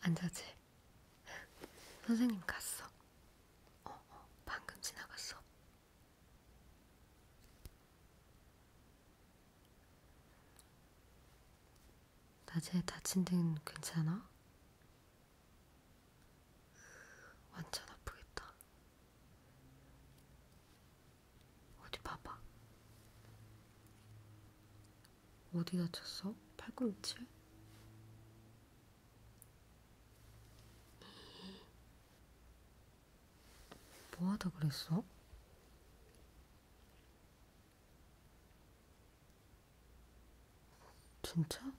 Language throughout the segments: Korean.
안 자지? 선생님 갔어. 어, 어, 방금 지나갔어. 낮에 다친 데는 괜찮아? 완전 아프겠다. 어디 봐봐. 어디 다쳤어? 팔꿈치? 뭐하다 그랬어? 진짜?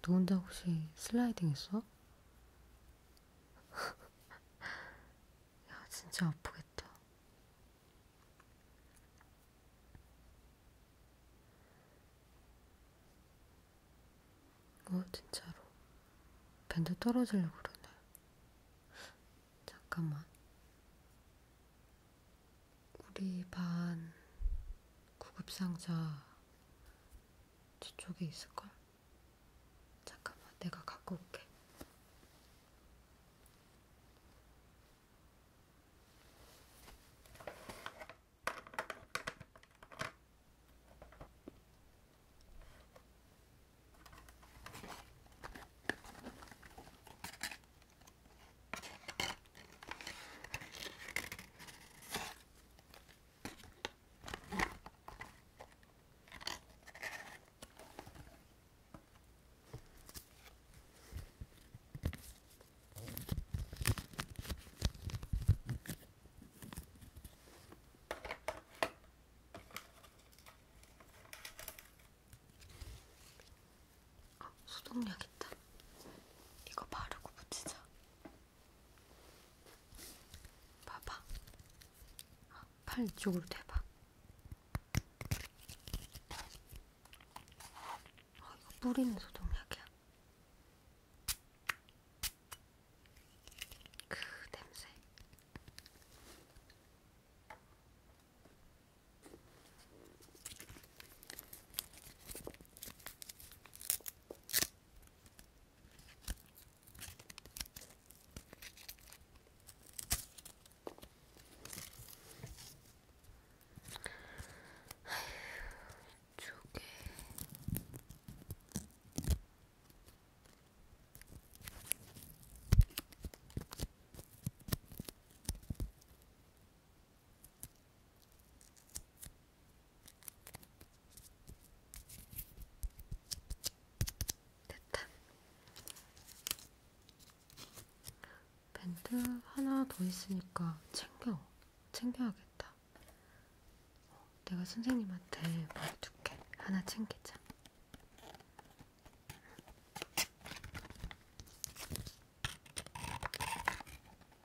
너 혼자 혹시 슬라이딩 했어? 야, 진짜 아프겠다. 어, 진짜로. 밴드 떨어지려고 그러네. 잠깐만. 우리 반 구급상자 저쪽에 있을걸? 잠깐만, 내가 갖고 올게. 아, 소독약 있다. 이거 바르고 붙이자. 봐봐. 아, 팔 이쪽으로 대봐. 어, 이거 뿌리는 소독약이야. 그 냄새. 조개. 됐다. 밴드 하나 더 있으니까 챙겨. 챙겨야겠다. 내가 선생님한테 말해줄게. 하나 챙기자.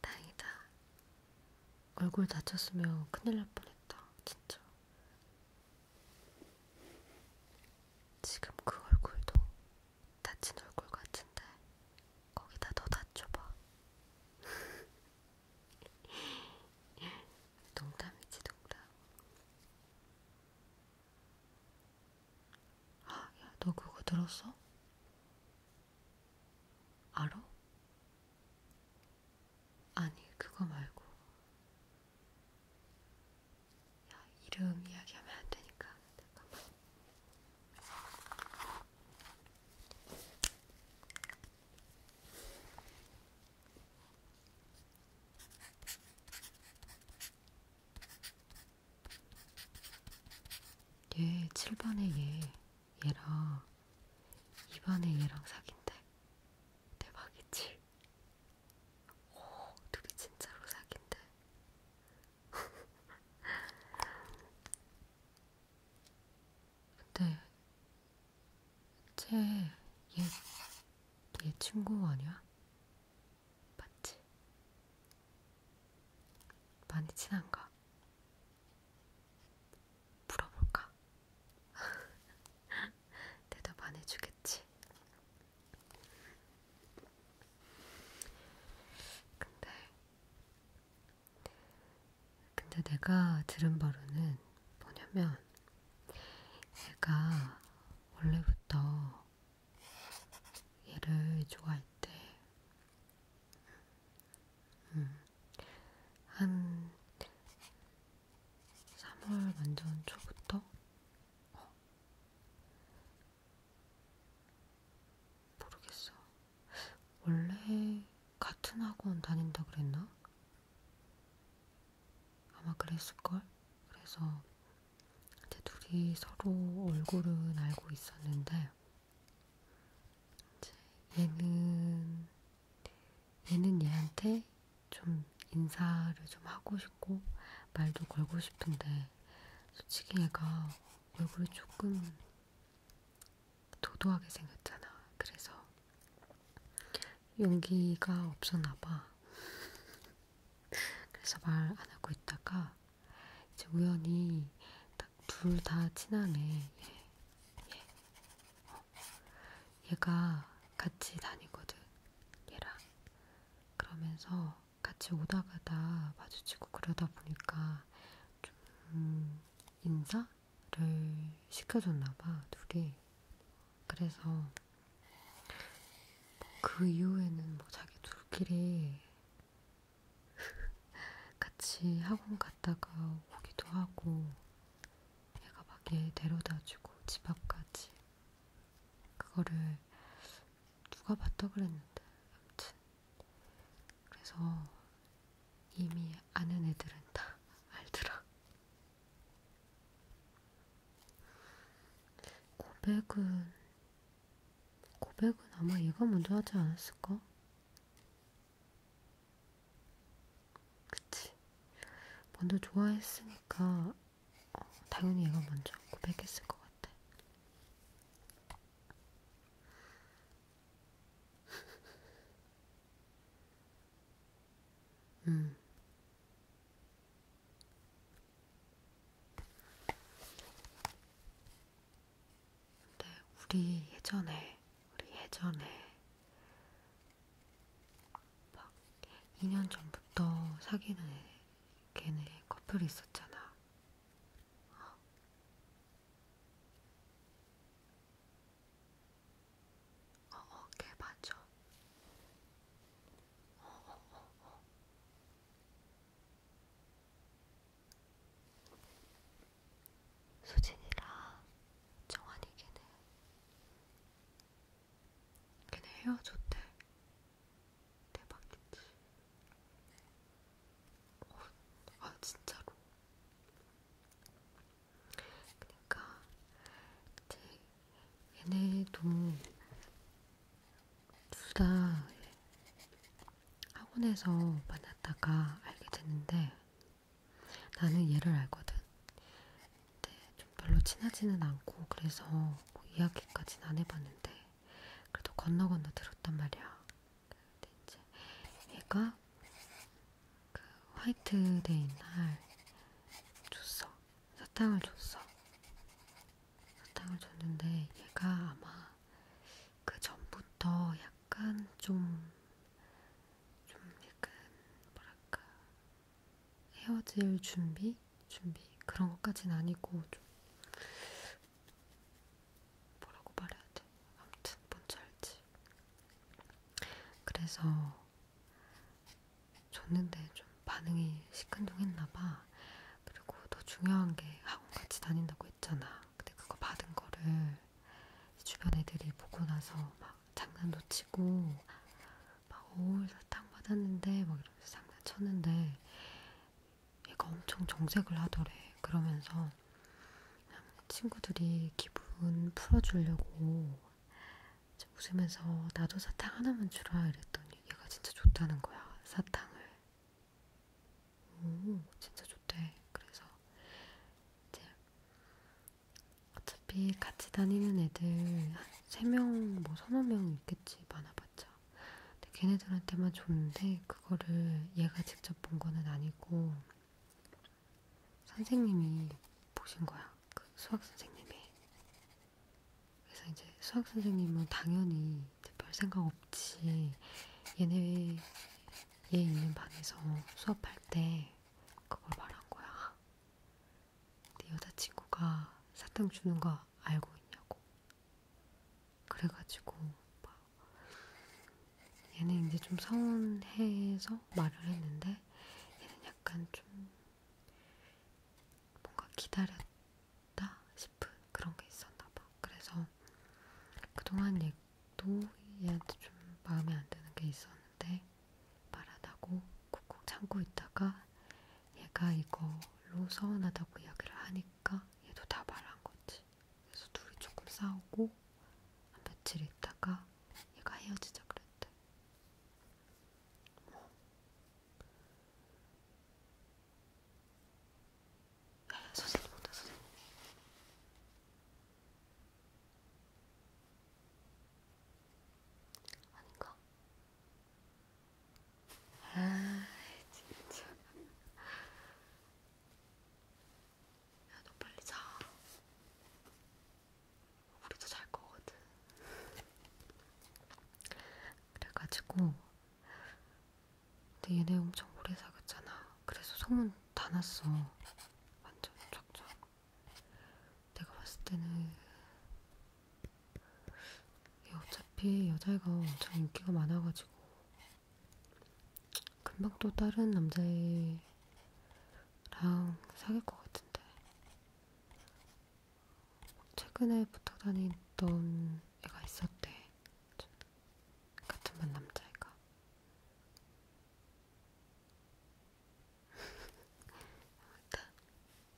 다행이다. 얼굴 다쳤으면 큰일 날 뻔했다. 진짜. 지금 그 얼굴도 다친 얼굴 같은데 거기다 더 다쳐봐. 농담이지 농담. 아, 야, 너 그거 들었어? 알아? 아니, 그거 말고. 야, 이름 이야기하면 안 되니까. 잠깐만. 얘 7번에 얘, 얘랑 2번에 얘랑 사귄대. 대박이지? 오, 둘이 진짜로 사귄대. 근데 쟤얘얘 얘 친구 아니야? 맞지? 많이 친한가? 물어볼까? 대답 안 해주겠지? 근데, 근데 내가 들은 바로는 뭐냐면, 얘가 원래부터 얘를 좋아할 때, 음, 한 3월 완전 초부터 어? 모르겠어. 원래 같은 학원 다닌다 그랬나? 아마 그랬을걸? 그래서 이제 둘이 서로 얼굴은 알고 있었는데, 이제 얘는, 얘는 얘한테 좀 인사를 좀 하고 싶고, 말도 걸고 싶은데, 솔직히 얘가 얼굴이 조금 도도하게 생겼잖아. 그래서 용기가 없었나봐. 그래서 말 안 하고 있다가 이제 우연히 딱 둘 다 친하네. 얘, 예, 얘. 예. 어. 얘가 같이 다니거든. 얘랑. 그러면서 같이 오다 가다 마주치고 그러다 보니까 좀 음, 인사를 시켜줬나봐 둘이 그래서 그 이후에는 뭐 자기 둘끼리 같이 학원 갔다가 오기도 하고 얘가 막 얘 데려다주고 집 앞까지 그거를 누가 봤다 그랬는데 아무튼 그래서 이미 아는 애들은 다 알더라. 고백은 고백은 아마 얘가 먼저 하지 않았을까? 그치. 먼저 좋아했으니까 어, 당연히 얘가 먼저 고백했을 것 같아. 음. 근데 우리 예전에, 우리 예전에 막 2년 전부터 사귀는 걔네 커플이 있었잖아. 어, 어, 걔 맞죠? 어, 어, 어, 어. 수진이랑 정환이 걔네 걔네 헤어졌대 대박이지. 어, 아 진짜로. 그러니까 이제 얘네도 둘 다 학원에서 만났다가 알게 됐는데 나는 얘를 알거든. 근데 좀 별로 친하지는 않고 그래서 뭐 이야기까지는 안 해봤는데 그래도 건너 건너 들었단 말이야. 근데 이제 얘가 그 화이트데이 날 줬어. 사탕을 줬어. 사탕을 줬는데 얘가 아마 그 전부터 약간 좀좀 좀 약간 뭐랄까 헤어질 준비 준비 그런 것까진 아니고 좀 뭐라고 말해야 돼? 아무튼 뭔지 알지. 그래서 줬는데 좀 반응이 시큰둥했나봐. 그리고 더 중요한 게 학원 같이 다닌다고 했잖아. 근데 그거 받은 거를 주변 애들이 보고 나서 막 장난도 치고 막 오, 사탕 받았는데 막 이러면서 장난쳤는데 얘가 엄청 정색을 하더래. 그러면서 친구들이 기분 풀어주려고 웃으면서 나도 사탕 하나만 주라 이랬더니 얘가 진짜 좋다는 거야. 사탕을. 오, 진짜 좋대. 그래서 이제 어차피 같이 다니는 애들 한 3명, 뭐 서너 명 있겠지. 많아봐. 봤죠. 근데 걔네들한테만 줬는데 그거를 얘가 직접 본 거는 아니고 선생님이 보신 거야. 그 수학 선생님이. 그래서 이제 수학 선생님은 당연히 이제 별 생각 없이 얘네 얘 있는 방에서 수업할 때 그걸 말한 거야. 내 여자친구가 사탕 주는 거다 알고 있냐고. 그래가지고 막 얘는 이제 좀 서운해서 말을 했는데 얘는 약간 좀 뭔가 기다렸다 싶은 그런 게 있었나 봐. 그래서 그동안 얘도 얘한테 좀 마음에 안 드는 게 있었는데 말하다고 꾹꾹 참고 있다가 얘가 이거로 서운하다고 이야기를 하니까 얘도 다 말한 거지. 그래서 둘이 조금 싸우고 한 며칠 있다가 얘가 헤어지자 그랬대. 뭐. 야야 선생님 오다 선생님. 아닌가? 아, 진짜. 야, 너 빨리 자. 우리도 잘 거거든. 그래가지고, 근데 얘네 엄청 오래 사귀었잖아. 그래서 소문 다 났어. 완전 쫙쫙. 내가 봤을 때는 어차피 여자애가 엄청 인기가 많아가지고 금방 또 다른 남자애랑 사귈 것 같은데 최근에 붙어 다니던 애가 있었대 같은 반 남자애가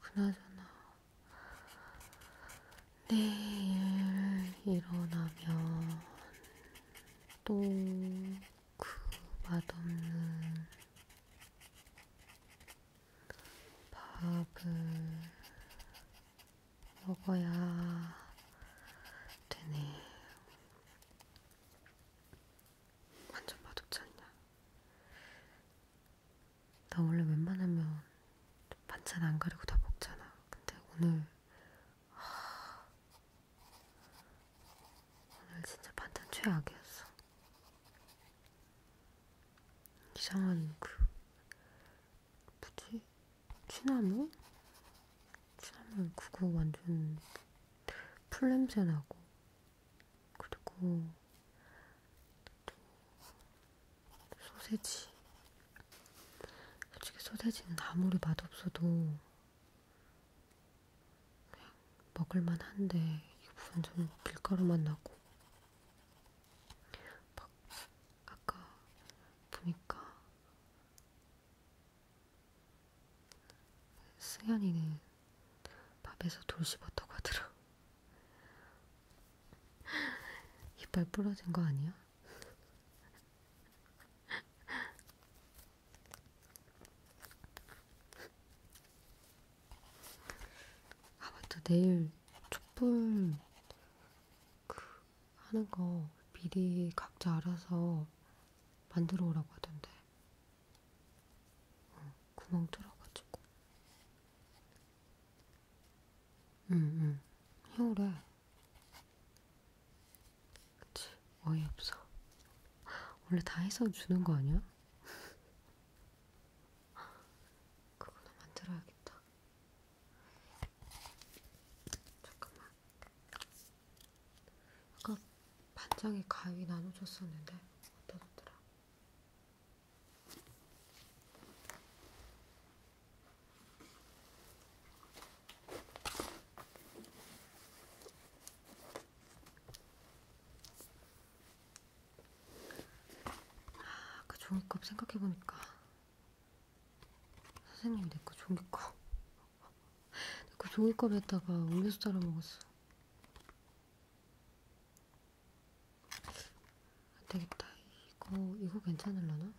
그나저나 내일 일어나면 또 그 맛없는 밥을 먹어야 되네. 완전 맛없지 않냐? 나 원래 웬만하면 반찬 안 가리고 다 먹잖아. 근데 오늘 하... 오늘 진짜 반찬 최악이었어. 이상한 그 뭐지? 취나무? 취나물 그거 완전 풀냄새 나고 그리고 또 소세지. 솔직히 소세지는 아무리 맛없어도 그냥 먹을만 한데 이게 완전 밀가루만 나고 막 아까 보니까 승현이는 밥에서 돌 씹었다고 하더라. 이빨 부러진 거 아니야? 아 맞다 내일 촛불 그 하는 거 미리 각자 알아서 만들어 오라고 하던데 어, 구멍 뚫어가지고. 응응. 해오래. 그치. 어이없어. 원래 다 해서 주는 거 아니야? 그거나 만들어야겠다. 잠깐만. 아까 반장에 가위 나눠줬었는데 어떠더라? 아, 그 종이컵 생각해보니까 선생님이 내거 종이컵 그 종이컵에다가 음료수 따라 먹었어. 안 되겠다. 이거 이거 괜찮을려나?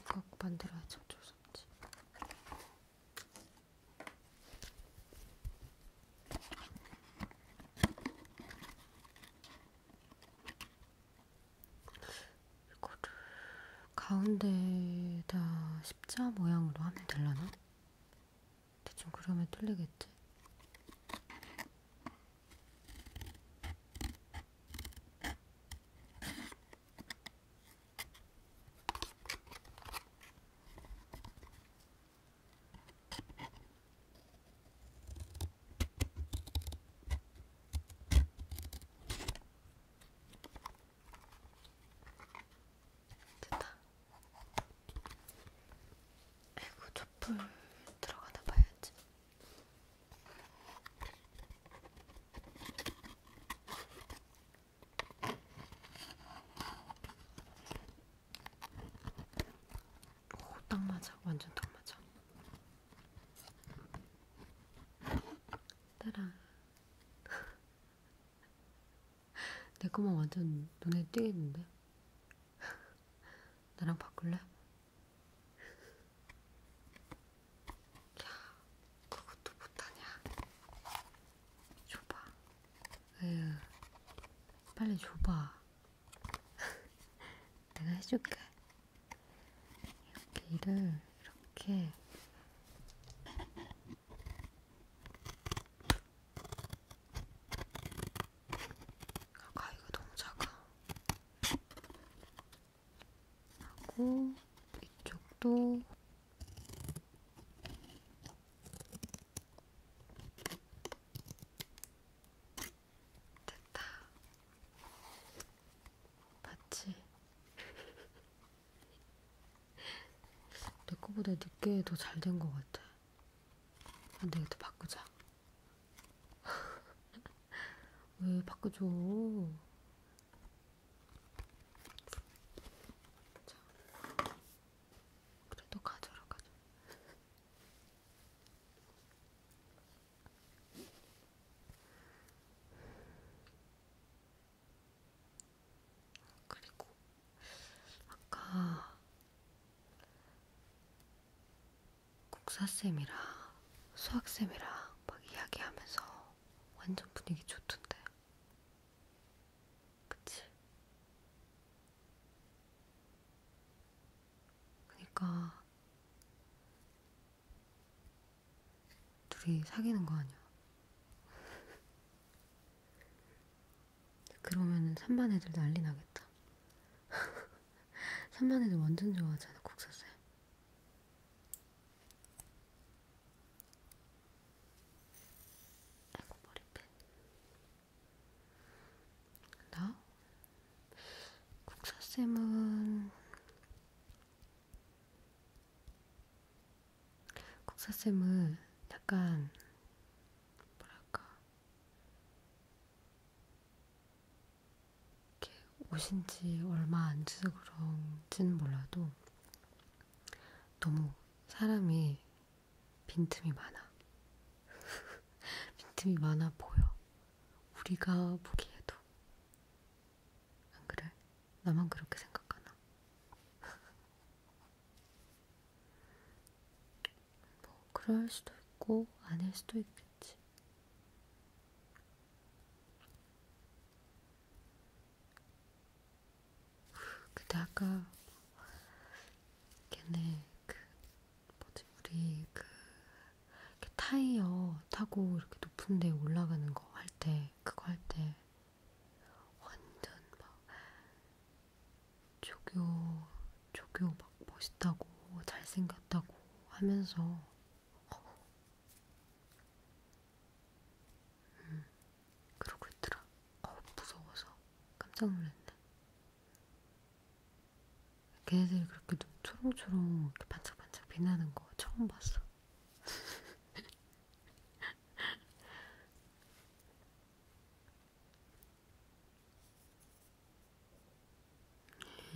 이거 만들어야지 어쩔 수 없지. 이거를 가운데다 십자 모양으로 하면 되려나? 대충 그러면 틀리겠지? 됐다. 아이고, 촛불 들어가다 봐야지. 오, 딱 맞아. 완전 딱 맞아. 따라. 내 거만 완전 눈에 띄겠는데? 나랑 바꿀래? 야, 그것도 못하냐? 줘봐. 에휴, 빨리 줘봐. 내가 해줄게. 이렇게 일을 이렇게 아까 이거 너무 작아 하고 이쪽도 됐다. 봤지? 내 거보다 늦게 더 잘 된 것 같아. 안 아, 되겠다, 바꾸자. 왜 바꾸죠? 자. 그래도 가져라, 가져. 그리고 아까 국사쌤이랑 수학쌤이랑 막 이야기하면서 완전 분위기 좋던데. 그치? 그니까 둘이 사귀는 거 아니야? 그러면은 3반 애들 난리 나겠다. 3반 애들 완전 좋아하잖아, 국사쌤. 아이고, 머리핀. 나? 국사쌤은 국사쌤은 약간 뭐랄까 이렇게 오신지 얼마 안 돼서 그런지는 몰라도 너무 사람이 빈틈이 많아. 빈틈이 많아 보여. 우리가 보기에도. 안 그래? 나만 그렇게 생각하나? 뭐 그럴 수도 있고 아닐 수도 있겠지. 근데 아까 걔네 그 뭐지 우리 그 타이어 타고 이렇게 높은 데 올라가는 거할때 그거 할 때 완전 막 조교 조교 막 멋있다고 잘생겼다고 하면서 어. 음, 그러고 있더라. 어 무서워서 깜짝 놀랐네. 걔네들이 그렇게 눈 초롱초롱 이렇게 반짝반짝 빛나는 거 처음 봤어.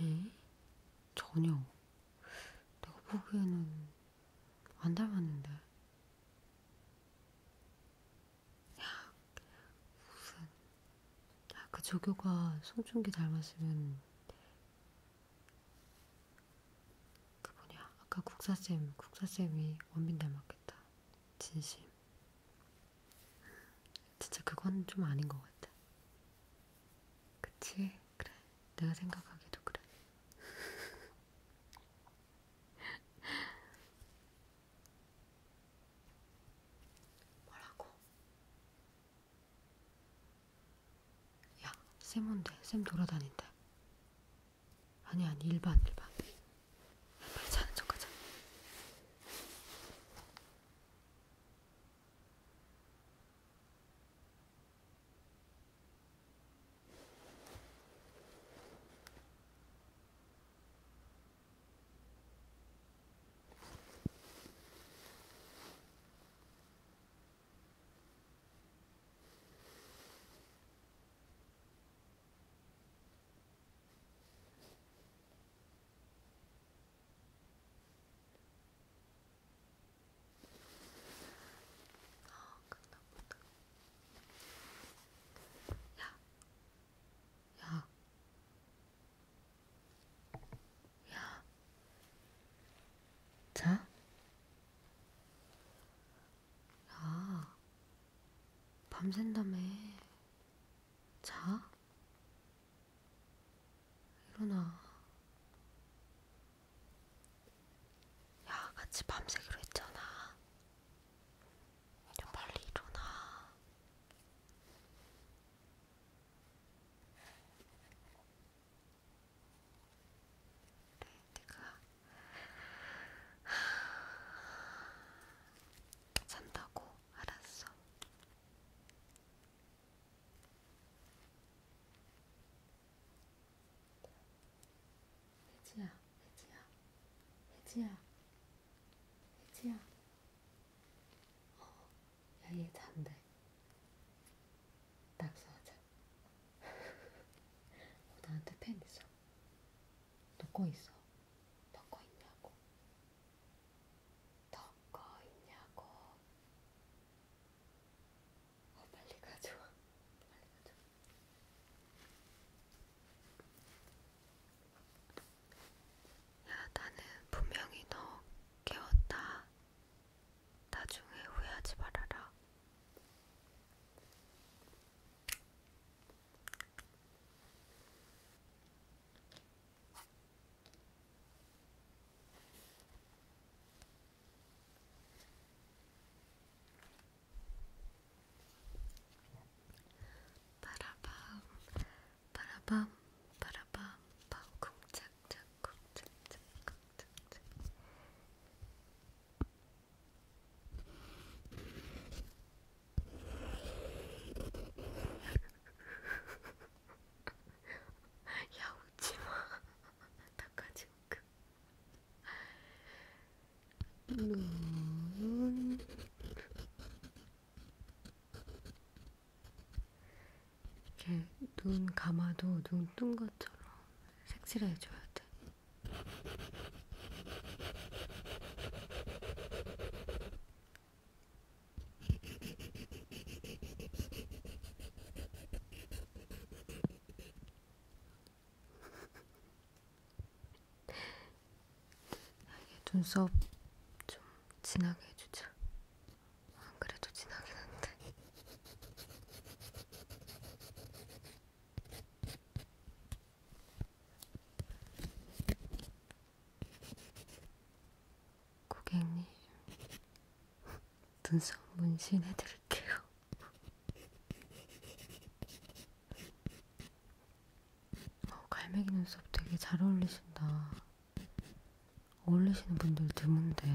에? 전혀 내가 보기에는 안 닮았는데 야 무슨 야그 조교가 송중기 닮았으면 그 뭐냐 아까 국사쌤 국사쌤이 원빈 닮았겠다 진심 진짜 그건 좀 아닌 것 같아 그치 그래 내가 생각하기도 그래 뭐라고? 야, 쌤 온대. 쌤 돌아다닌대. 아니, 아니, 일반, 일반. 빨리 자는 척 하자. 아, 끝났구나. 야, 야, 야. 자. 야. 밤샌다며. 자. 일어나. 야, 같이 밤새기로 했잖아. 좀 빨리 일어나. 내가 산다고 알았어. 혜지야, 혜지야, 혜지야, 혜지야. 어, 야얘 잔데 낙서하자 어, 나한테 펜 있어 넣고 있어 넣고 있냐고 넣고 있냐고 어, 빨리 가져와 빨리 가져와 야 나는 분명히 너 깨웠다 나중에 후회하지 말아라. 바라밤 바라밤 바라밤 밤 쿵짝짝 쿵짝짝 야 웃지마 닦아지 웃음 그. 눈 이렇게 눈 감아도 눈 뜬 것처럼 색칠해줘야 돼. 이게 눈썹 좀 진하게 해주자. 안 그래도 지나긴 한데. 고객님, 눈썹 문신해드릴게요. 어, 갈매기 눈썹 되게 잘 어울리신다. 어울리시는 분들 드문데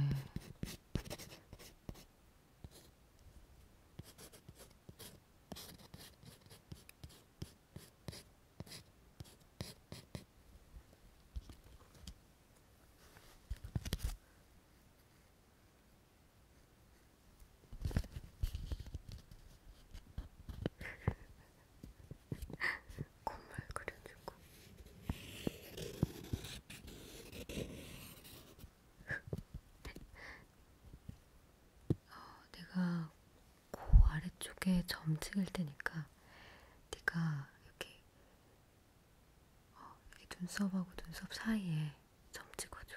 콧물 그려주고 어, 내가 코 아래쪽에 점 찍을 테니까 네가 이렇게, 어, 이렇게 눈썹하고 눈썹 사이에 점 찍어줘.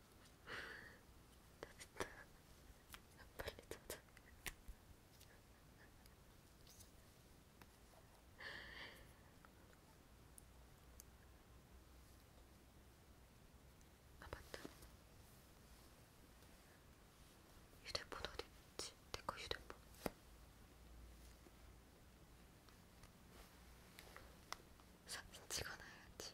나 진짜 빨리 찾아. 아 맞다. 휴대폰 어디 있지? 내거 휴대폰. 사진 찍어놔야지.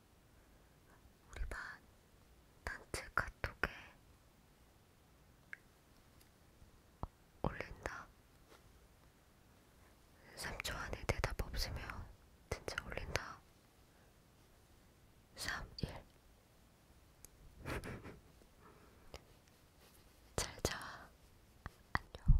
우리 반 단체 카톡에 올린다. 3초 안에 대답 없으면 진짜 올린다. 3, 1. 잘 자. 안녕.